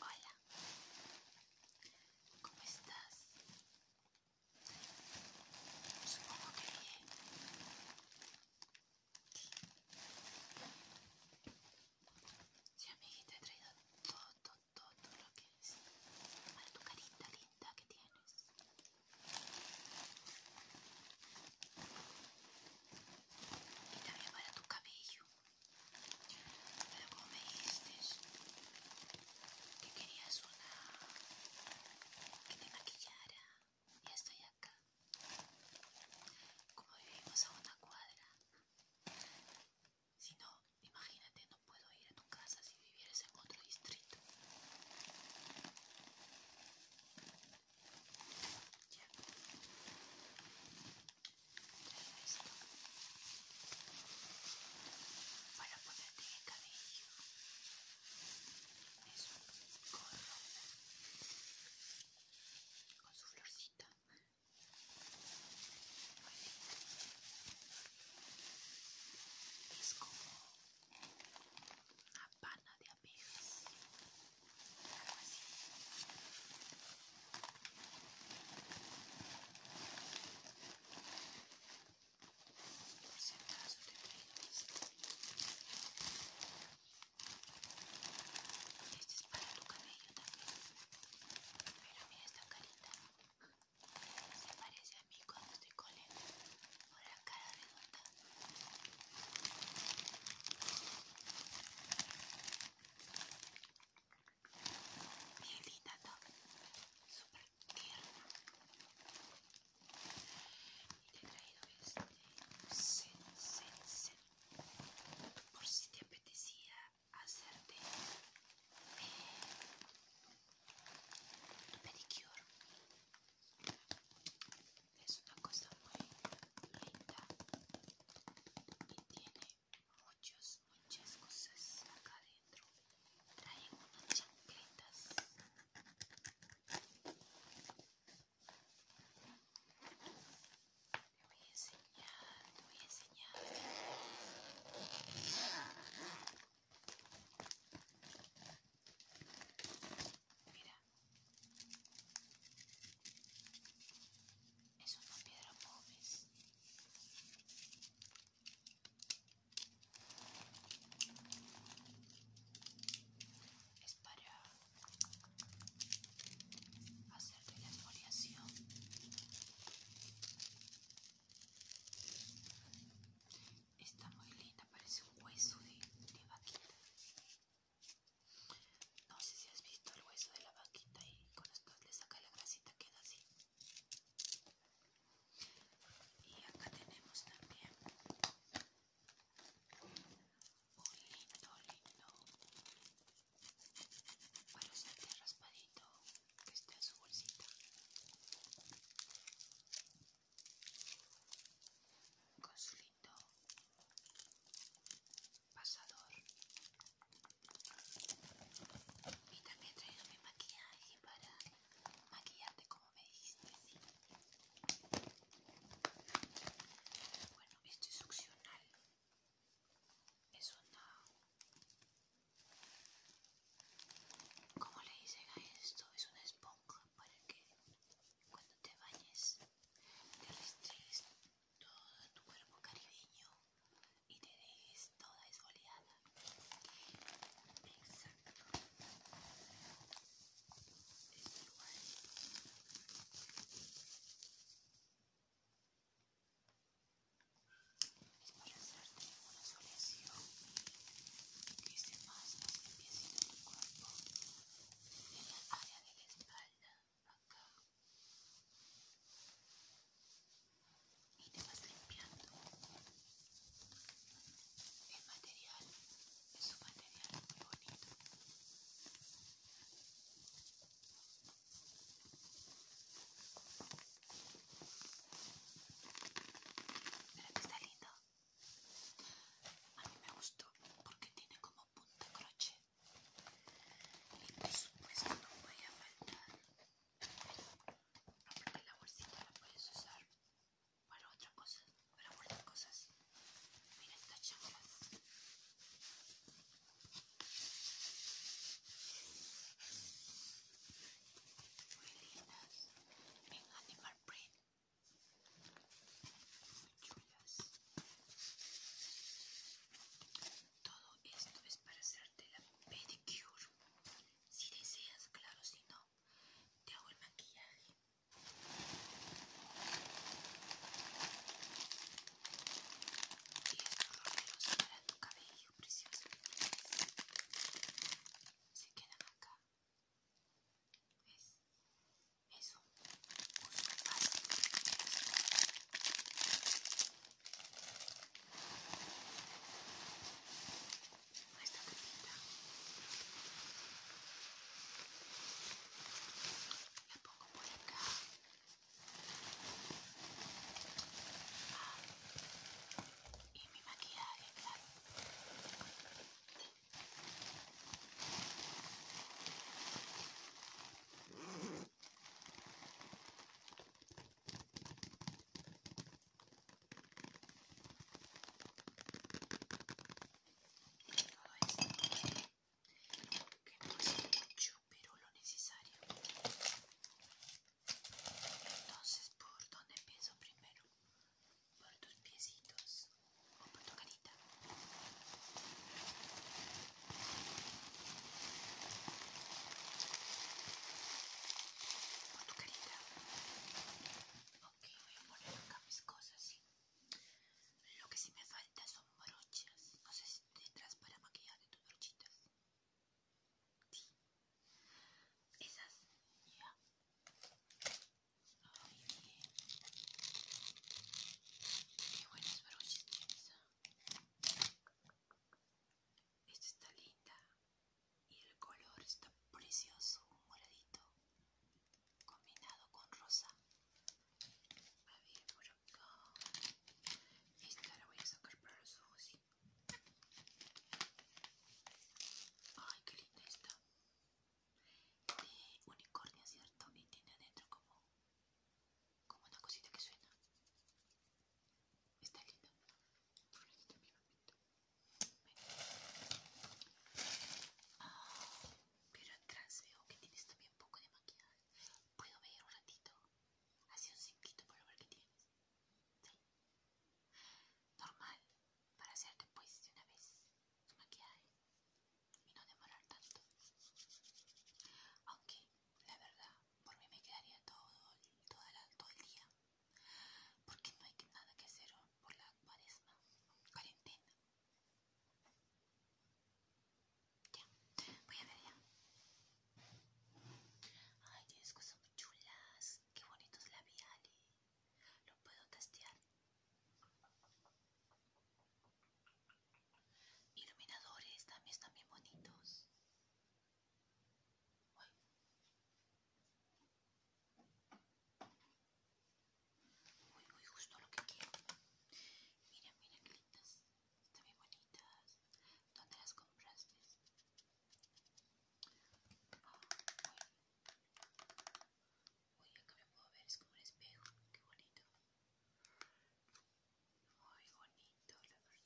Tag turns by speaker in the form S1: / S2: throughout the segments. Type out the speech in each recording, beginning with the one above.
S1: Hola, ¿cómo estás? Supongo que bien. Sí, amiguita, he traído todo, todo lo que es para tu carita linda que tienes. Y también para tu cabello. Pero como me dijiste que querías una que te maquillara, ya estoy acá. Como vivimos a una cuadra, si no, imagínate, no puedo ir a tu casa si vivieras en otro distrito. Ya. Traigo esto para ponerte en cabello. Es un gorro con su florcita es como una pana de abejas algo así por si acaso te prendes este es para tu cabello también pero mira esta carita se parece a mí cuando estoy con él, por la cara redonda. Bien ¿no? super tierno. Y te he traído este set, set, Por si te apetecía hacerte eh, pedicure es una cosa muy linda y tiene muchas muchas cosas acá adentro trae unas chancletas te voy a enseñar te voy a enseñar Mira, es una piedra pobre. Es para hacer la esfoliación Está muy linda, parece un hueso de, vaquita. No sé si has visto el hueso de la vaquita y con esto le saca la grasita queda así. Y acá tenemos también un lindo, lindo para usarte raspadito que está en su bolsita con su lindo pasador y también he traído mi maquillaje para maquillarte como me dijiste bueno, esto es opcional es una como le dicen a esto, es una esponja para que cuando te bañes te restrigues todo tu cuerpo caribeño y te dejes toda esboleada. Exacto es para hacerte una exfoliación que esté más, más tu cuerpo en el área de la espalda, acá y te vas limpiando el material es un material muy bonito pero que está lindo. A mí me gustó porque tiene como punta crochet. Y por supuesto no voy a faltar. porque la bolsita la puedes usar para otras cosas para guardar cosas. Mira estas chambas muy lindas en animal print muy chulas todo esto es para hacerte la pedicure si deseas claro si no te hago el maquillaje y estos roleros para tu cabello Ay, precioso. Se quedan acá. ¿Ves? Es un uso fácil de las cosas. Esta capita la pongo por acá. Ah, y mi maquillaje, claro. Todo esto que no mucho, pero lo necesario. Entonces, ¿por dónde pienso primero? ¿Por tus piecitos o por tu carita? Por tu carita. Ok, voy a poner acá mis cosas, Lo que sí me falta son brochas. No sé si tendrás para maquillar de tus brochitas. Esas. Ya. muy bien. buenas ah. Esta está linda. Y el color está precioso, un moradito. Combinado con rosa. A ver, Esta la voy a sacar para los ojos. Ay, qué linda está. De unicornio, ¿cierto? Y tiene adentro como, como una cosita que suena. Está linda. Oh, pero atrás veo que tienes también un poco de maquillaje. ¿Puedo ver un ratito? Así un cinquito para ver qué tienes. Normal, para hacerte pues de una vez su maquillaje y no demorar tanto. Aunque, la verdad, por mí me quedaría todo, el día. Porque no hay nada que hacer por la cuaresma, cuarentena. Ya, voy a ver ya. Ay, tienes cosas muy chulas qué bonitos labiales lo puedo testear. Iluminadores también están bien bonitos. Uy. Muy, muy justo lo que quiero. miren, mira que lindas. Están bien bonitas. ¿Dónde las compraste? Uy, acá me puedo ver, es como un espejo, qué bonito. Muy bonito, la verdad.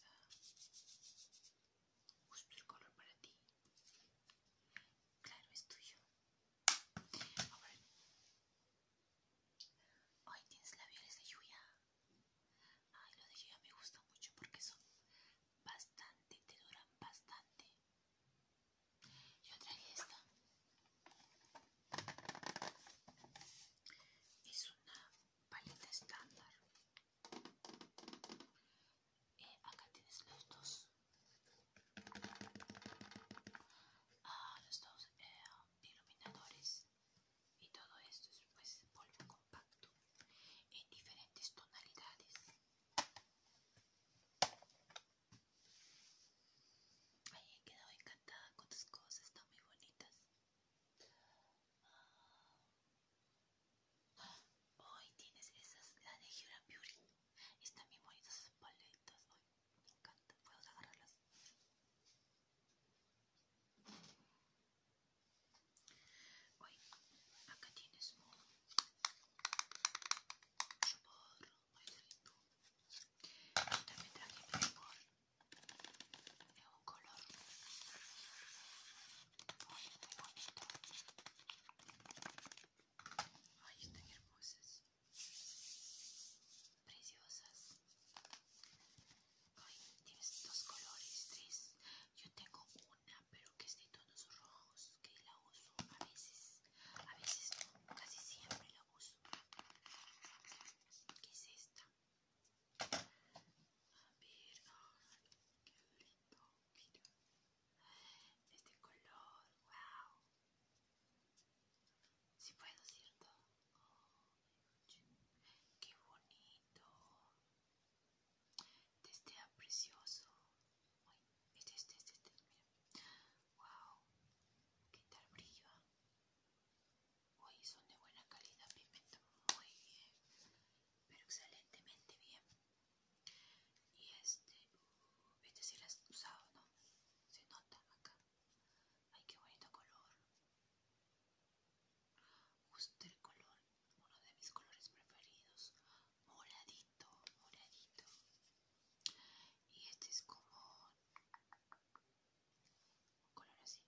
S1: Justo el color para ti. Claro, es tuyo. A ver Ay, tienes labiales de lluvia. Ay, los de lluvia me gusta mucho porque son bastante, te duran bastante. Yo traje esta. Es una paleta estándar. Eh, acá tienes los dos. Ah, los dos eh, iluminadores y todo esto es pues polvo en diferentes tonalidades. Ay, he quedado encantada con tus cosas, están muy bonitas. Ah. Hoy tienes esas, de Hura Beauty. Están muy bonitas esas paletas. me encanta. ¿Puedo agarrarlas? Hoy acá tienes un chupador muy rico. Yo también traje mi de un color muy, bonito. Ay, están hermosas, preciosas. Ay, tienes dos colores, tres. Yo tengo uno pero que es de tonos rojos, que la uso a veces, a veces casi siempre la uso. ¿Qué es esta? A ver, qué lindo, mira. Este color, wow. Si puedo, ¿cierto? Oh, qué bonito este es precioso. Este, este, este, este, mira. Wow, qué tal brillo. Uy, son de buena calidad, pigmento muy bien, pero excelentemente bien. Y este, uh, este si lo has usado, ¿no? Se nota acá. Ay, qué bonito color. Gusta el color, uno de mis colores preferidos, moradito, moradito. Y este es como un color así.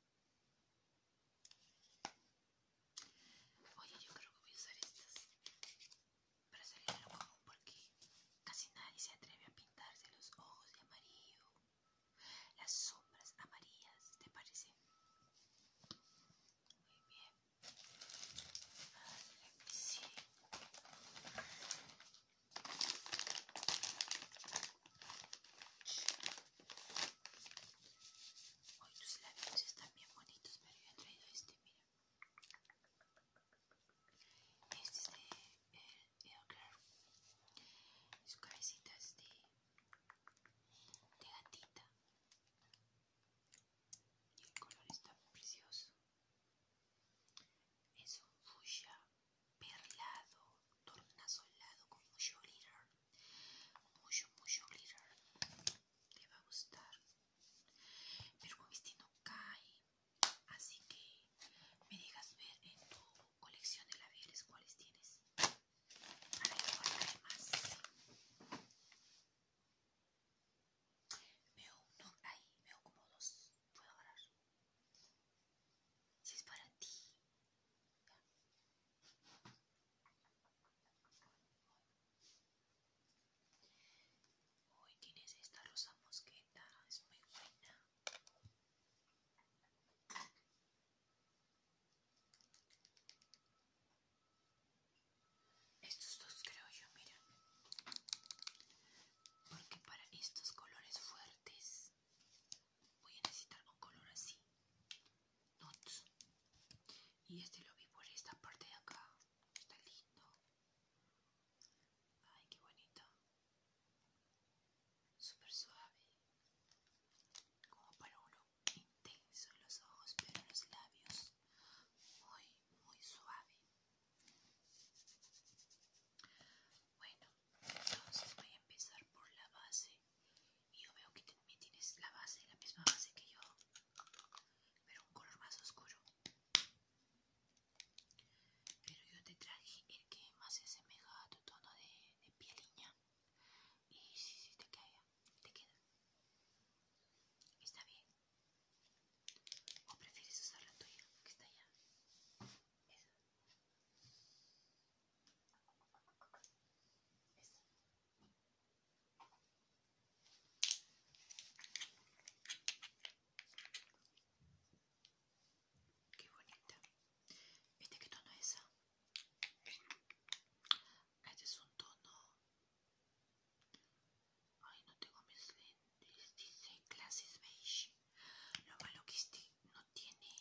S1: Oye, yo creo que voy a usar estas para salir de lo común porque casi nadie se atreve a pintarse los ojos de amarillo, las sombras amarillas, ¿te parece? Muy bien. Vale, sí. Hoy tus labios están bien bonitos, pero yo he traído este, mira. Este es de el, el claro. Su cabecita es de, de gatita y el color está muy precioso es un fuchsia perlado tornasolado con mucho glitter mucho mucho glitter te va a gustar pero como este no cae así que me digas ver en tu colección de labiales cuáles tienes Veo uno ahí, me como dos. Puedo agarrar. Si es para ti. Hoy tienes esta rosa mosqueta, es muy buena. Estos dos creo yo, miren Porque para estos colores fuertes voy a necesitar un color así. Nuts. Y este lo vi por esta parte de acá. Está lindo. Ay, qué bonito. Súper suave. Como para uno intenso los ojos, pero los labios muy, muy suave. Bueno, entonces voy a empezar por la base. Y yo veo que también tienes la base, la misma base que yo, pero un color más oscuro. Pero yo te traje el que más se asemeja a tu tono de, piel niña y si, si te queda, te queda. Está bien. ¿O prefieres usar la tuya, que está allá? Esa. Esa. Qué bonita. ¿Viste que tono es esa? Este es un tono. Ay, no tengo mis lentes. Dice Classes Beige. Lo malo que este no tiene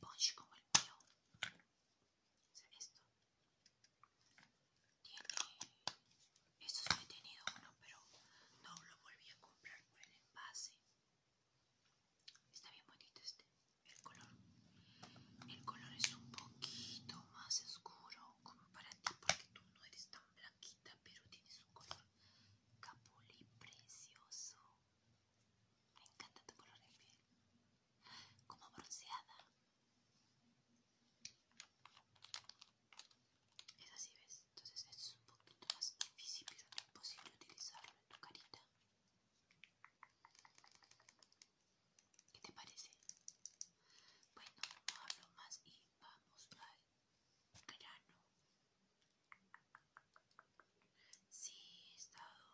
S1: punch como el mío. O esto. Tiene. esto no he tenido uno, pero no lo volví a comprar por el envase. Está bien bonito este el color el color es un poquito más oscuro como para ti porque tú no eres tan blanquita pero tienes un color capuli precioso me encanta tu color de piel como bronceada es así ves entonces es un poquito más difícil pero imposible utilizarlo en tu carita ¿Qué te parece? Bueno, no hablo más y vamos al grano. Sí, he estado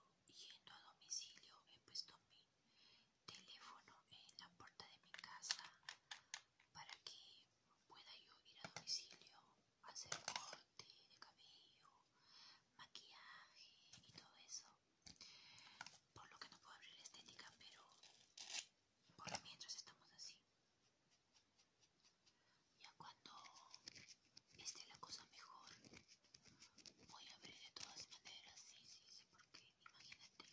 S1: yendo a domicilio, he puesto mi teléfono en la puerta de mi casa para que pueda yo ir a domicilio, hacer corte de cabello, maquillaje y todo eso. Por lo que no puedo abrir la estética, pero por mientras estamos así. Ya cuando esté la cosa mejor, voy a abrir de todas maneras, sí, sí, sí, porque imagínate,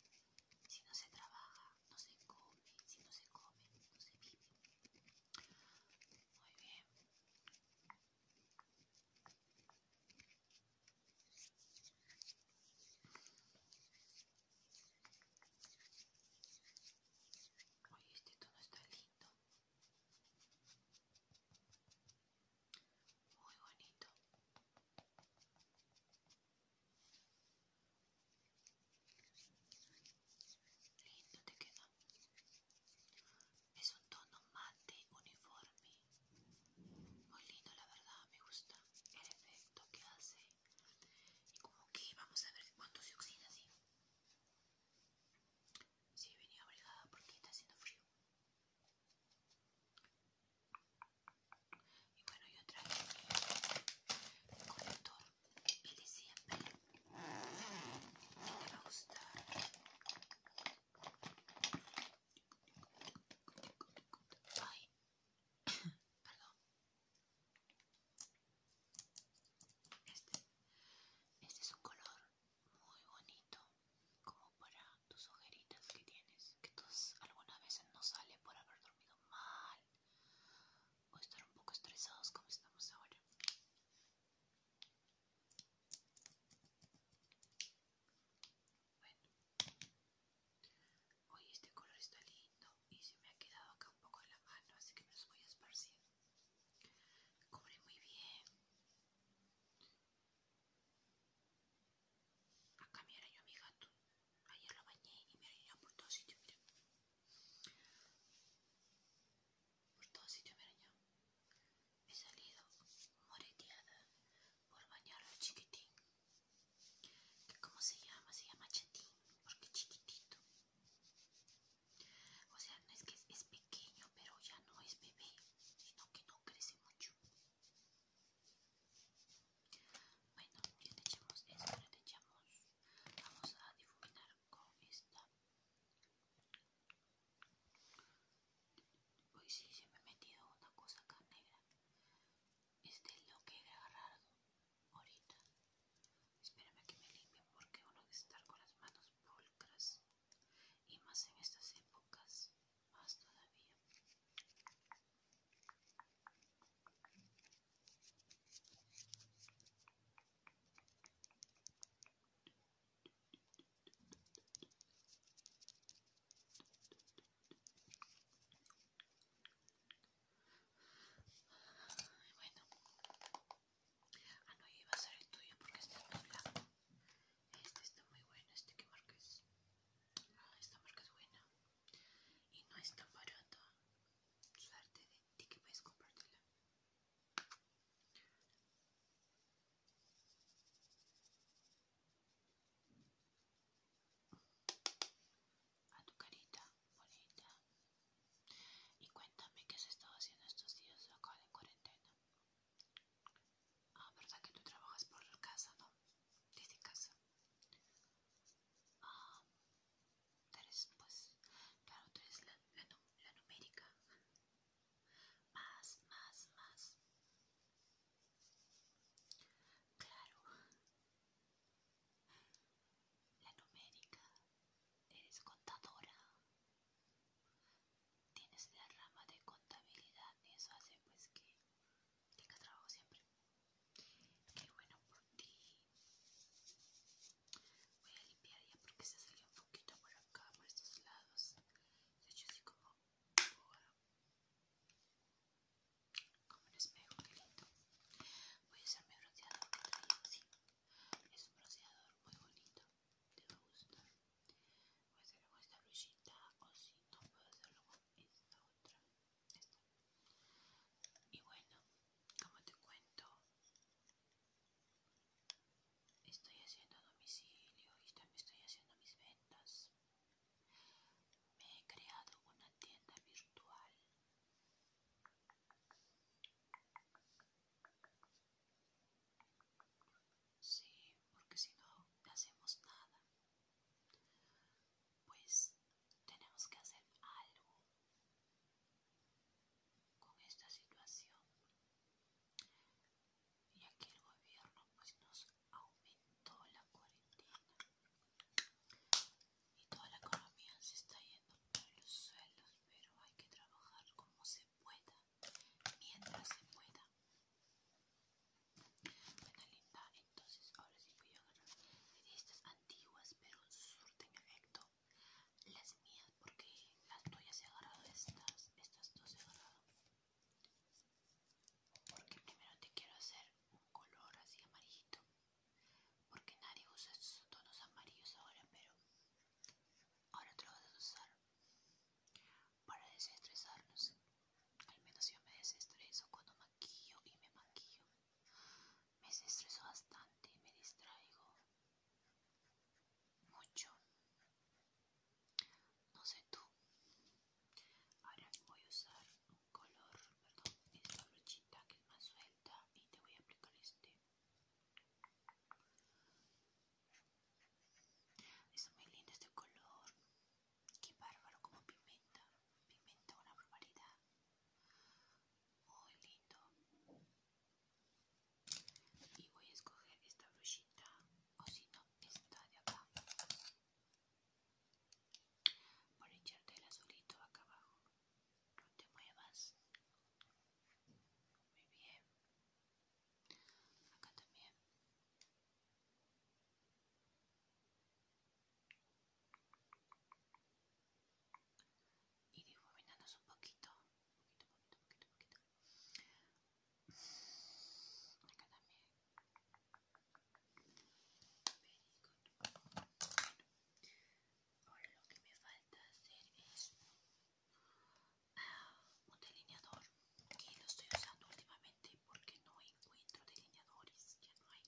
S1: si no se trabaja, no se come, si no se come, no se vive. Muy bien. Oye, este tono está lindo. Muy bonito. Lindo te queda. Es un tono mate uniforme. Muy lindo, la verdad, me gusta el efecto que hace. Y como que vamos a ver cuánto se oxida, ¿sí? Sí, venía abrigada porque está haciendo frío. Y bueno, yo traje el colector, el de siempre, que me va a gustar. Este. Este es un color muy bonito, como para tus ojeritas que tienes, que tus algunas veces no sale por haber dormido mal o estar un poco estresados como estamos ahora. Bueno. hoy este color está lindo y se me ha quedado acá un poco en la mano, así que me los voy a esparcir. Cubre muy bien. Acá me arañó mi gato. Ayer lo bañé y me arañó por todos sitios, mira. Por todos sitios me arañó. He salido moreteada por bañarlo chiquitín. ¿Cómo se llama? Se llama chatín, porque chiquitito. O sea, no es que es, pequeño, pero ya no es bebé, sino que no crece mucho. Bueno, ya te echamos esto, le echamos. Vamos a difuminar con esta Hoy sí se me ha metido una cosa acá negra. Este es lo que he agarrado ahorita. Espérame que me limpien porque uno debe estar con las manos pulcras. Y más en estas épocas, más todavía bueno. Ah, no, iba a ser el tuyo porque está en Este está muy bueno, este que marca ah, esta marca es buena. Y no es tan barata. Suerte de ti que puedes comprártela a tu carita bonita y cuéntame qué has estado haciendo estos días acá en cuarentena ah verdad que tú trabajas por casa no desde casa ah pues claro la numérica más, más, más. Claro. La numérica. Eres contadora. Tienes la rama de contabilidad y eso hace pues que tenga trabajo siempre. Qué bueno por ti. Voy a limpiar ya porque se salió un poquito por acá, por estos lados. De hecho, así como como un espejo, que lindo. Voy a usar mi bronceador Es un bronceador muy bonito. Te va a gustar. Voy a hacerlo con esta brillita o si no puedo hacerlo con esta otra. Y bueno, como te cuento, estoy haciendo domicilio y también estoy haciendo mis ventas. Me he creado una tienda virtual. Sí, porque si no hacemos nada, pues tenemos que hacer algo con esta situación y aquí el gobierno pues nos aumentó la cuarentena y toda la economía se está yendo por los suelos pero hay que trabajar como se pueda mientras se pueda bueno linda entonces ahora sí voy a agarrar de estas antiguas pero surten efecto las mías porque las tuyas he agarrado estas estas dos he agarrado porque primero te quiero hacer un color así amarillito. Porque nadie usa estos tonos amarillos ahora, pero ahora te lo vas a usar para desestresarnos. Al menos yo me desestreso cuando maquillo y me maquillo. Me desestreso bastante y me distraigo mucho. No sé tú. Ahora voy a usar un color, perdón, esta brochita que es más suelta y te voy a aplicar este. Es muy lindo este color. Qué bárbaro como pimenta. Pimenta una barbaridad. Muy lindo y voy a escoger esta brochita o si no esta de acá por echarte el azulito acá abajo no te muevas muy bien acá también y difuminándonos un poquito, poquito, poquito, poquito, poquito lo que me falta hacer es un delineador que lo estoy usando últimamente porque no encuentro delineadores, ya no hay.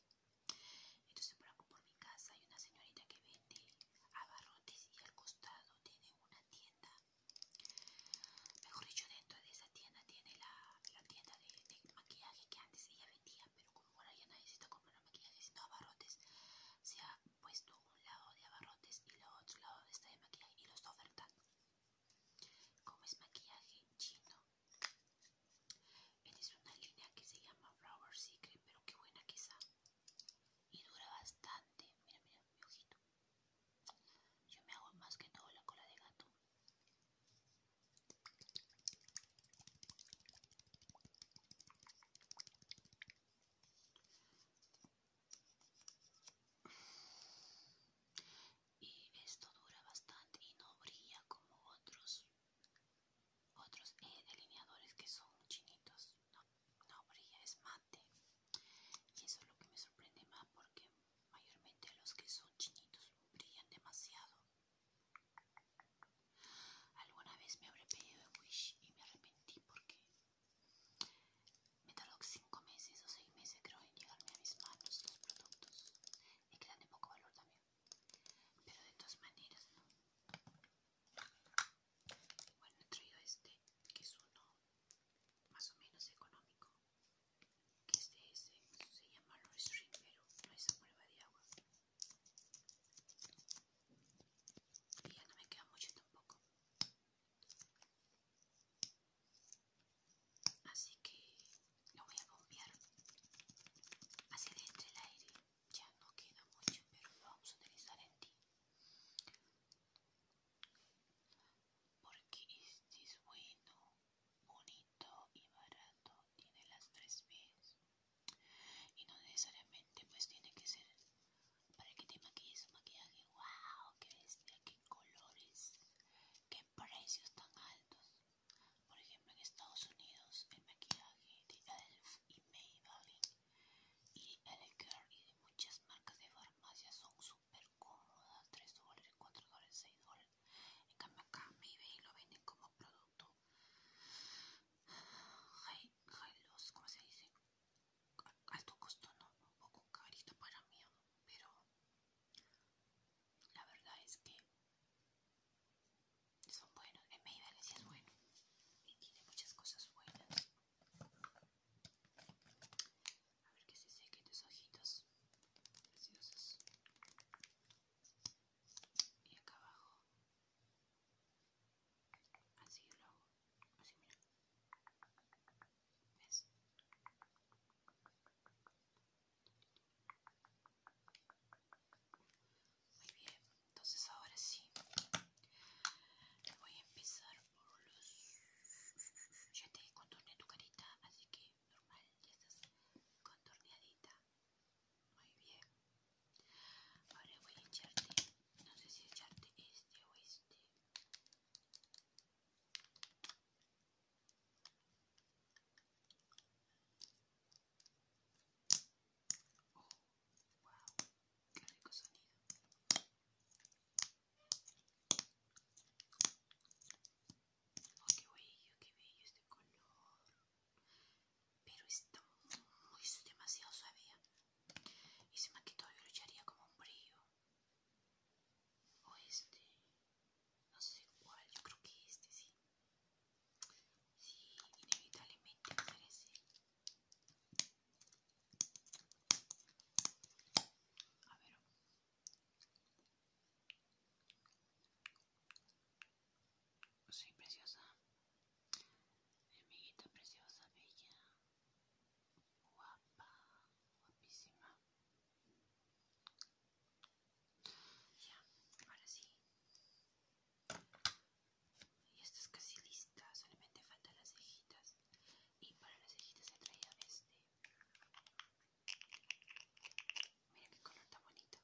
S1: Entonces por por mi casa hay una señorita que vende abarrotes y al costado tiene una tienda Mejor dicho, dentro de esa tienda tiene la, tienda de, maquillaje que antes ella vendía, pero como ahora ya nadie se comprar maquillaje, sino abarrotes, se ha puesto un lado de abarrotes y el otro lado está de maquillaje y lo está ofertando. Como es maquillaje chino, es una línea que se llama Flower Secret, pero qué buena que está. Y dura bastante. Mira, mira, mi ojito. Yo me hago más que todo la cola de gato. Y esto dura bastante y no brilla como otros otros eh, delineadores que son chinitos. No, no brilla, es más y eso es lo que me sorprende más porque mayormente los que son chinitos brillan demasiado. Alguna vez me habré pedido de Wish y me arrepentí porque me tardó 5 meses o 6 meses creo en llegarme a mis manos los productos y quedan de poco valor también. Pero de todas maneras, ¿no? Bueno, he traído este que es uno más o menos económico que es se llama Low Stream pero no es a prueba de agua y ya no me queda mucho tampoco así que lo voy a bombear hacia dentro el aire ya no queda mucho pero lo vamos a utilizar en ti porque este es bueno, bonito y barato, tiene las tres B's. Y no necesariamente pues tiene que ser para que te maquilles un maquillaje. ¡Wow! ¡Qué bestia! ¡Qué colores! ¡Qué precios tan altos! Por ejemplo, en Estados Unidos el maquillaje de Elf y Maybelline y L'Oréal y de muchas marcas de farmacia son súper cómoda, 3 dólares, 4 dólares, 6 dólares. En cambio acá en y lo venden como producto. High, high loss, ¿cómo se dice? Alto costo, ¿no? Un poco carito para mí, pero la verdad es que son buenos. En sí es bueno y tiene muchas cosas buenas. A ver que se seque tus ojitos preciosos. Y acá abajo. Así lo hago. Así mira. ¿Ves? Muy bien, entonces ahora sí voy a empezar ya te contorneé tu carita, así que normal, ya estás contorneadita. Muy bien. Ahora voy a echarte, no sé si echarte este o este. Oh, wow, qué rico sonido. Oh, qué bello, qué bello este color. Pero está muy, demasiado suave. ¿ah? Y se me quitó, yo lo echaría como un brillo. O este, no sé cuál, yo creo que este sí. Sí, inevitablemente me parece. A ver. Sí, preciosa. Mi amiguita preciosa, bella. Guapa, guapísima. Ya, ahora sí. Y esta es casi lista, solamente faltan las cejitas. Y para las cejitas he traído este Mira qué color tan bonito.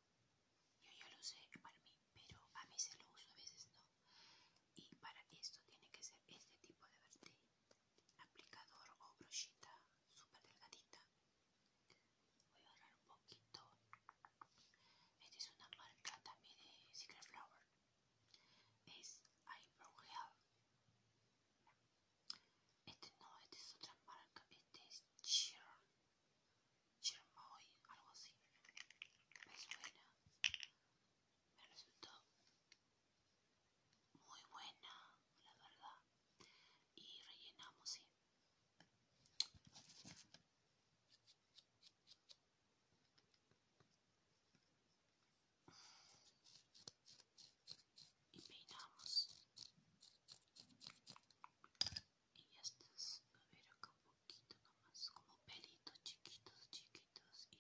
S1: Yo ya lo sé para mí, pero a mí se lo uso, a veces no. Y para esto tiene que ser este tipo de verde aplicador o brochita súper delgadita. Voy a agarrar un poquito. Esta es una marca también de Secret Flower es Eyebrow Gel. Este no, este es otra marca, este es Cheer, Cheermoy, algo así. Me suena, me resultó muy buena, la verdad. Y rellenamos, sí y peinamos y ya estás a ver acá un poquito nomás como pelitos chiquitos chiquitos y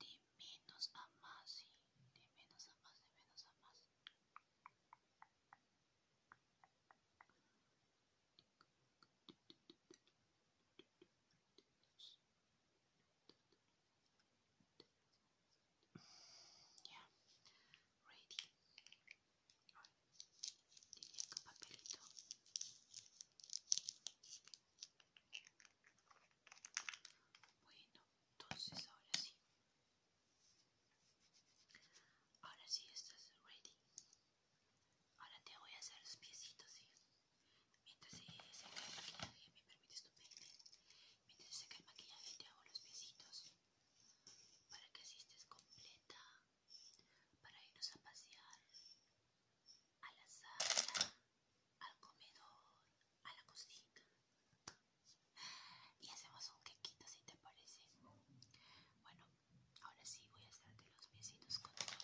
S1: de menos a más y de menos a más de menos a más Ya, ready. Diría que papelito. Bueno, entonces ahora sí. Ahora sí estás ready. Ahora te voy a hacer los piecitos, Mientras se seca el maquillaje, ¿me permites tu Mientras se seca el maquillaje, te hago los besitos para que así estés completa, para irnos a pasear a la sala, al comedor, a la cocina y hacemos un quequito si te parece. Bueno, ahora sí voy a hacerte los besitos con todo